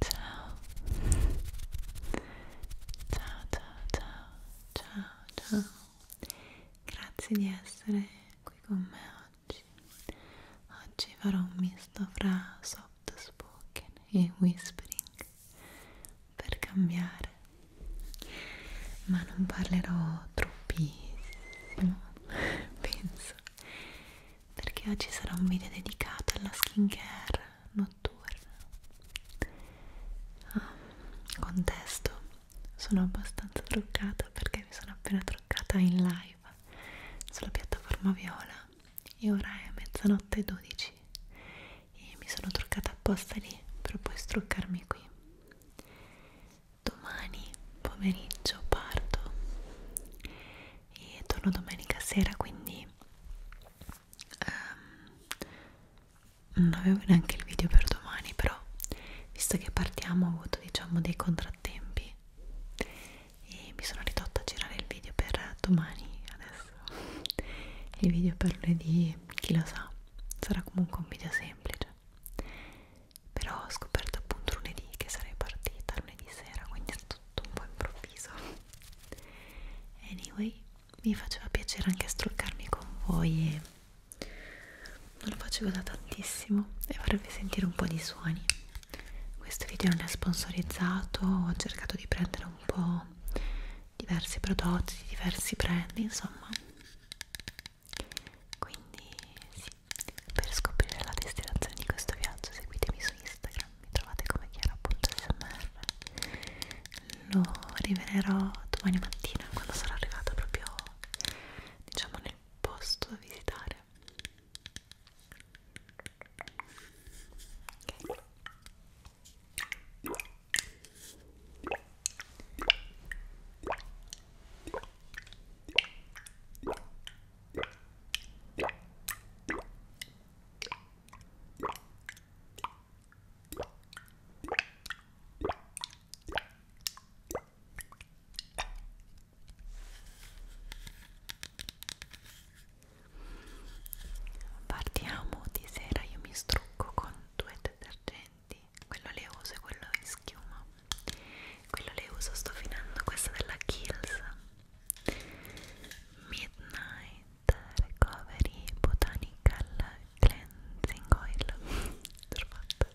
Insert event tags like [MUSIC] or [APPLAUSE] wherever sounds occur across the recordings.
Ciao. Ciao, ciao, ciao, ciao, ciao. Grazie di essere qui con me oggi. Oggi farò un misto fra soft spoken e whispering per cambiare ma non parlerò troppissimo [LAUGHS] penso perché oggi sarà un video dedicato alla skincare notturna ah, contesto sono abbastanza truccata perché mi sono appena truccata in live sulla piattaforma viola e ora è mezzanotte e 12 e mi sono truccata apposta lì per poi struccarmi qui domani pomeriggio parto e torno domenica sera quindi um, non avevo neanche il video per domani però visto che partiamo ho avuto diciamo dei contrattempi e mi sono ridotta a girare il video per domani adesso [LAUGHS] il video per lunedì chi lo sa sarà comunque un video semplice però ho scoperto appunto lunedì che sarei partita lunedì sera quindi è tutto un po' improvviso anyway mi faceva piacere anche struccarmi con voi e non lo facevo da tantissimo e vorrebbe sentire un po' di suoni questo video non è sponsorizzato ho cercato di prendere un po' diversi prodotti diversi brand insomma quindi sì per scoprire la destinazione di questo viaggio seguitemi su Instagram mi trovate come chiara.smr lo rivelerò domani mattina quando sarò arrivata proprio diciamo nel posto da visitare ok Partiamo di sera, io mi strucco con due detergenti quello le uso e quello in schiuma quello le uso sto finendo questa della Kills Midnight Recovery Botanical Cleansing Oil Perfetto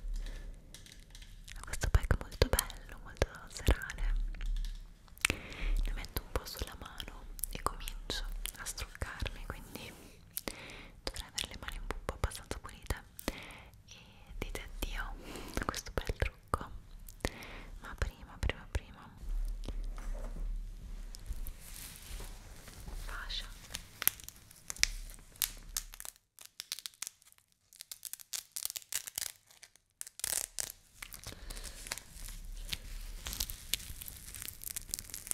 [LAUGHS] questo pack molto bello, molto serale ne metto un po' sulla mano e comincio a struccarmi quindi dovrei avere le mani un po' abbastanza pulite e dite addio a questo bel trucco ma prima prima prima fascia mi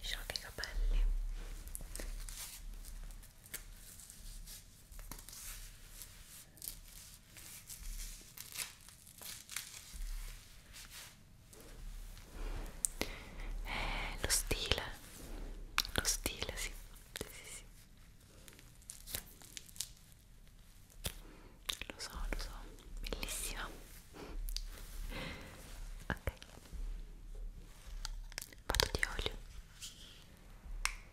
sciocchi i capelli eh, lo stile, lo stile, sì, sì, sì, sì. Lo so, lo so, bellissima. Ok. Vado di olio.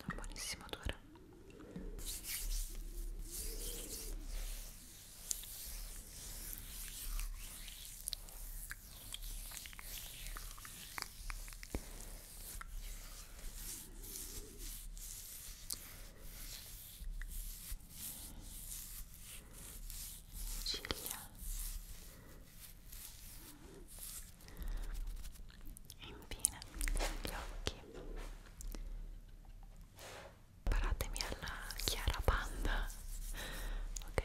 un buonissimo odore ciglia e infine gli occhi paratemi alla chiara panda ok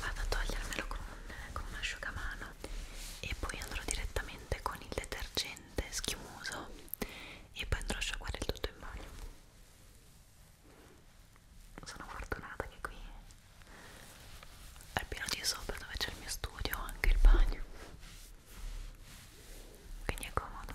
vado a togliermelo con, un, con un asciugamano e poi andrò direttamente con il detergente schiumoso e poi andrò a sciacquare il tutto in bagno sono fortunata che qui al piano di sopra dove c'è il mio studio ho anche il bagno quindi è comodo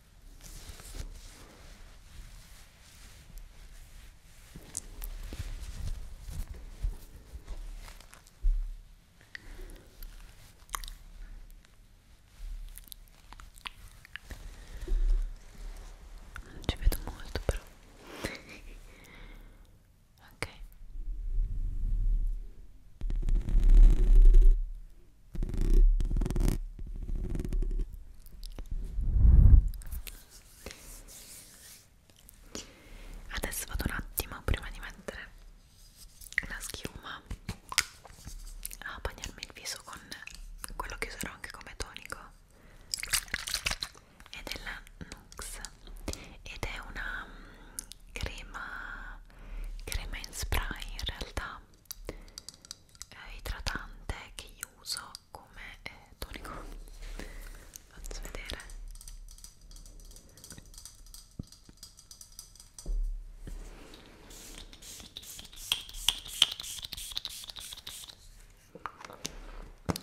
Non ci vedo molto però. [LAUGHS] ok. Adesso vado un attimo prima di mettere la schiuma a bagnarmi il viso con quello che userò anche come tonico è della Nux ed è una mm, crema crema in spray in realtà eh, idratante che io uso come eh, tonico faccio vedere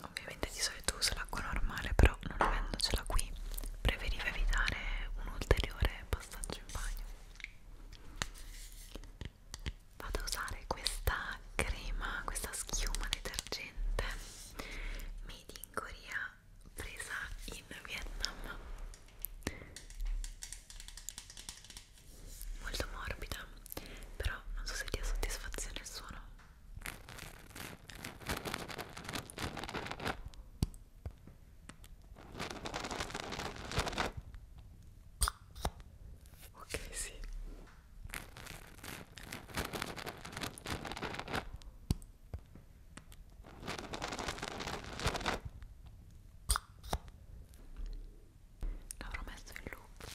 ovviamente di solito uso l'acqua normale però non avendocela qui preferivo evitare un ulteriore passaggio in bagno vado a usare questa crema, questa schiuma detergente made in Korea presa in Vietnam molto morbida però non so se dia soddisfazione il suono Ok, sì. L'avrò messo in loop.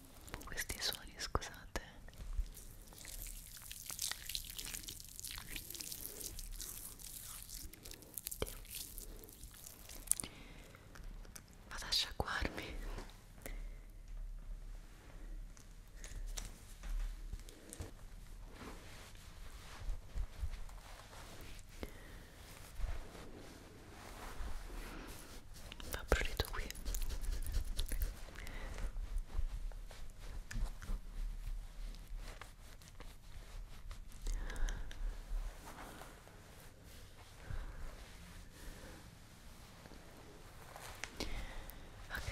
questi suoni scusate vado a sciacquarmi va prurito qui ok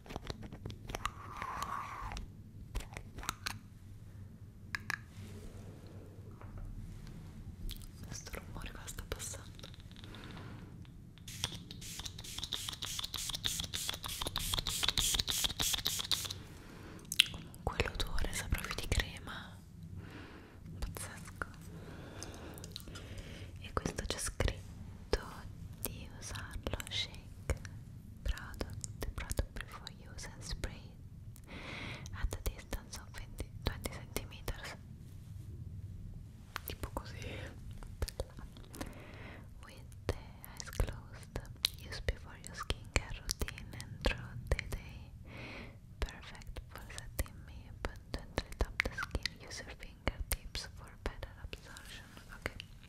questo rumore qua sta passando comunque l'odore sa proprio di crema pazzesco e questo c'è scritto di usarlo shake like product. Product before use and spray at a distance of 20, centimeters. Tipo così. With the eyes closed, use before your skincare routine and throughout the day. Perfect for setting me and gently tap the skin. Use your fingertips for better absorption. Okay.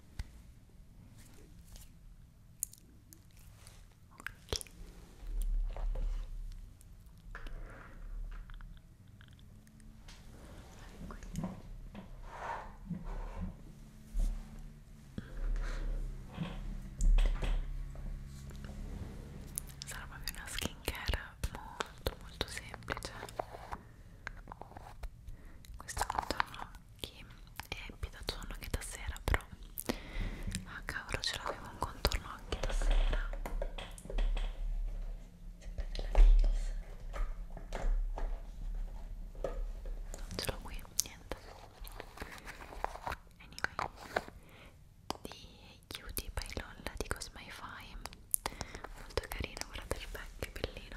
sarà proprio una skin care molto molto semplice questo contorno che è più da giorno che da sera però ah cavolo ce l'avevo un contorno anche da sera sempre della Kills non ce l'ho qui niente anyway di Cutie by Lolla di Cosmify molto carino guardate il pack che bellino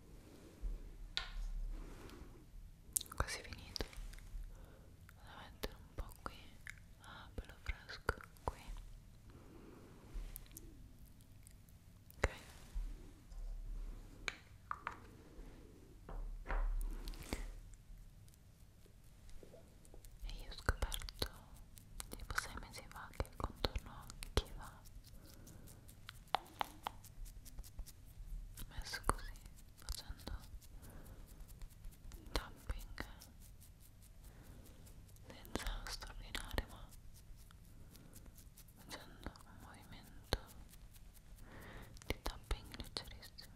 quasi finito da mettere un po' qui ah bello fresco qui ok e io ho scoperto tipo sei mesi fa che il contorno occhi va messo così facendo tapping senza straordinare ma facendo un movimento di tapping leggerissimo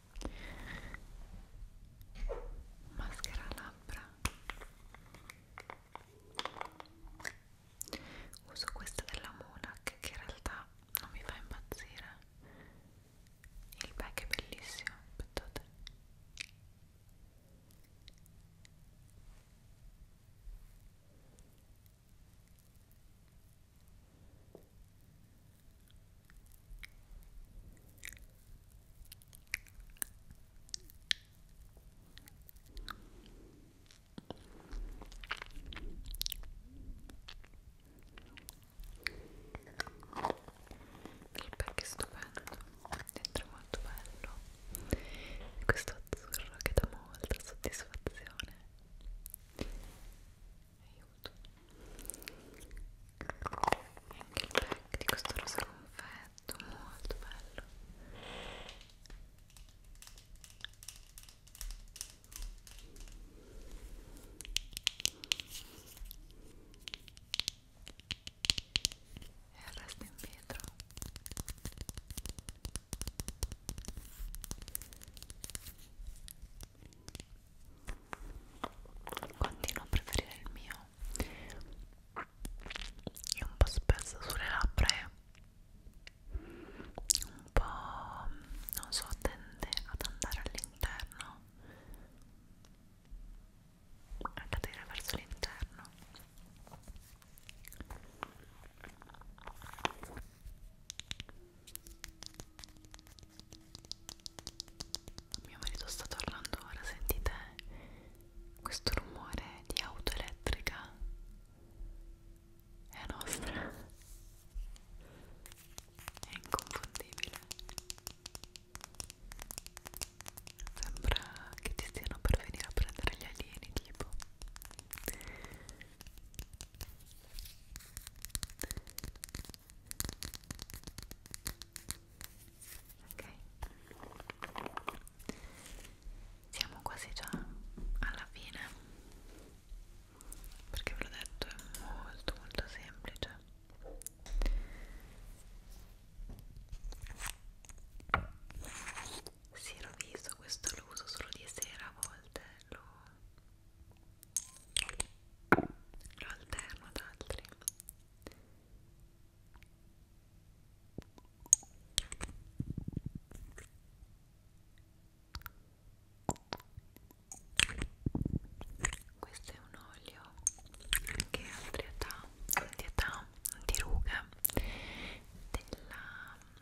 maschera labbra uso questa della Monac che in realtà non mi fa impazzire il pack è bellissimo aspettate il pack è stupendo dentro è molto bello questo azzurro che dà molta soddisfazione aiuto e anche il pack di questo rosa confetto molto bello e il resto in vetro continuo a preferire il mio è un po' spesso sulle labbra e un po' non so tende ad andare all'interno a cadere verso l'interno mio marito sta tornando ora, sentite questo rumore di auto elettrica? È nostra, è inconfondibile. Sembra che ti stiano per venire a prendere gli alieni, tipo ok siamo quasi già alla fine perché ve l'ho detto è molto molto semplice si roviso questo lo uso solo di sera a volte lo lo alterno ad altri questo è un olio che ha antietà, antietà, antiruga della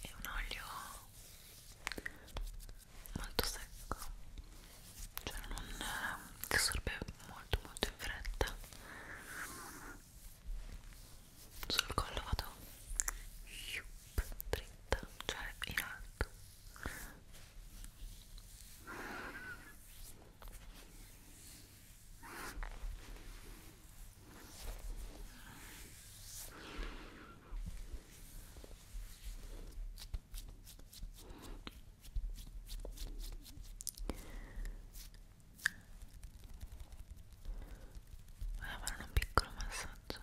è un olio molto secco cioè non si eh, assorbe molto molto in fretta sul collo vado dritta cioè in alto Voglio fare un piccolo massaggio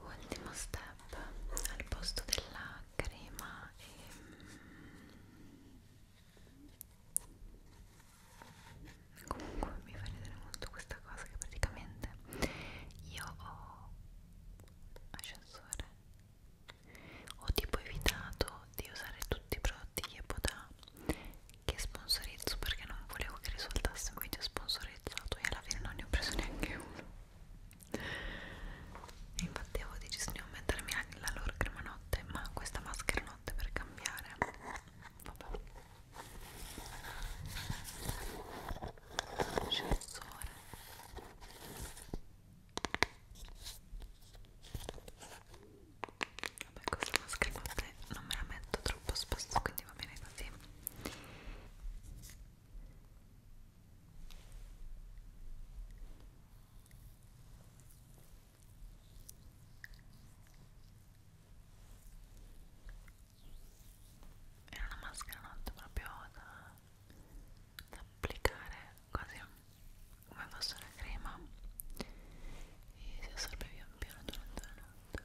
ultimo step al posto della crema e mm, comunque mi fa ridere molto questa cosa che praticamente io ho ascensore ho tipo evitato di usare tutti i prodotti Yeboda che sponsorizzo perché non volevo che risultasse un video sponsorizzato e alla fine non ne ho preso neanche uno e infatti avevo deciso di non mettermi la loro crema notte ma questa maschera notte per cambiare vabbè Ascensore Vabbè, questa maschera non me la metto troppo spesso, quindi va bene così. Era una maschera notte proprio da da applicare quasi come fosse una crema e si assorbe pian piano durante la notte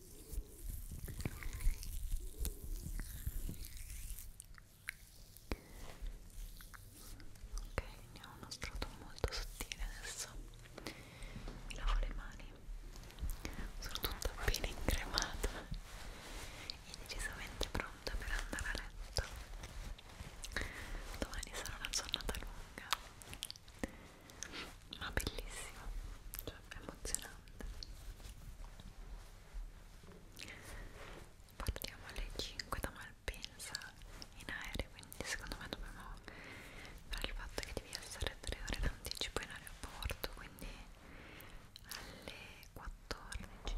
Ok, ne ho uno strato molto sottile adesso. Mi lavo le mani, sono tutta bene incremata e decisamente pronta per andare a letto. Domani sarà una giornata lunga ma bellissimo, cioè emozionante. Partiamo alle 5 da Malpensa in aereo, quindi secondo me dobbiamo fare il fatto che devi essere 3 ore d'anticipo in aeroporto, quindi alle 14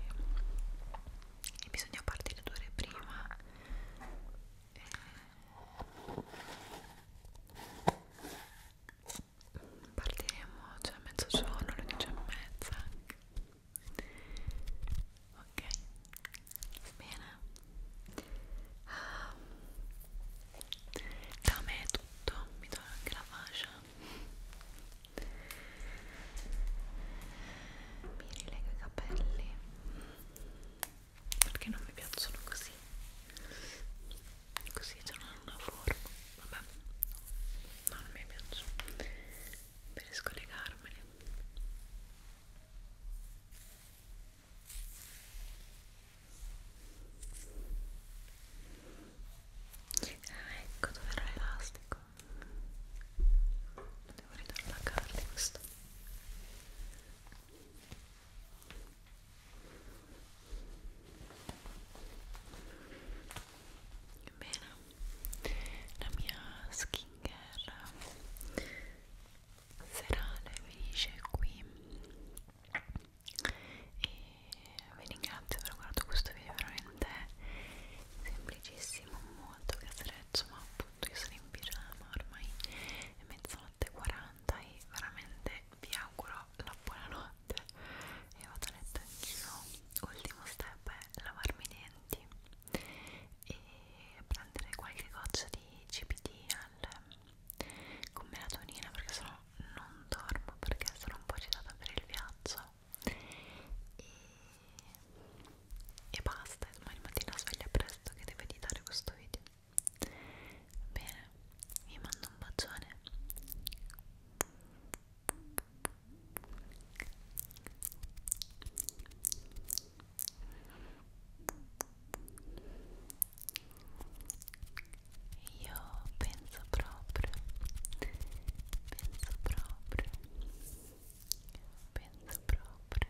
e bisogna partire due ore prima partiremo cioè a mezzogiorno, alle 10 e mezza ok bene um, da me è tutto mi do anche la fascia mi rilego i capelli perché non mi piacciono così così c'è una forma vabbè no, non mi piacciono per scollegarmeli ah ecco dove era l'elastico devo ritornare a carne questo Bene, la mia skincare serale finisce qui e vi ringrazio per aver guardato questo video veramente semplicissimo molto caserezzo ma appunto io sono in pigiama ormai è mezzanotte 8.40 e veramente vi auguro la buonanotte e vado a letto anch'io ultimo step è lavarmi i denti e prendere qualche goccia di CBD al, con melatonina perché sennò non dormo perché sono un po' agitata per il viaggio e, e basta, domani mattina sveglia presto che deve editare questo video Bene, vi mando un bacione. Io penso proprio, penso proprio, penso proprio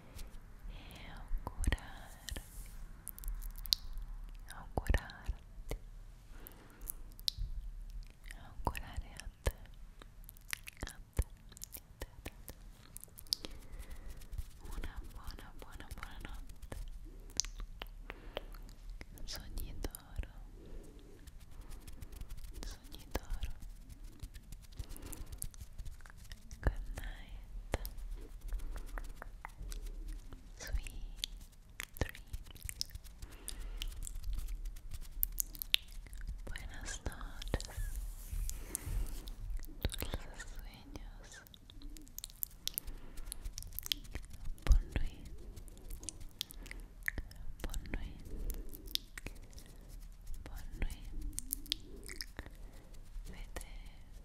e augurarti, augurarti, augurare a te, a te, a te, a te, una buona, buona, buona notte, sogni d'oro, sogni d'oro. Good night. Sweet dreams. Buenas noches. Dulces sueños. Bon nuit. Bon nuit. Bon nuit. Vete,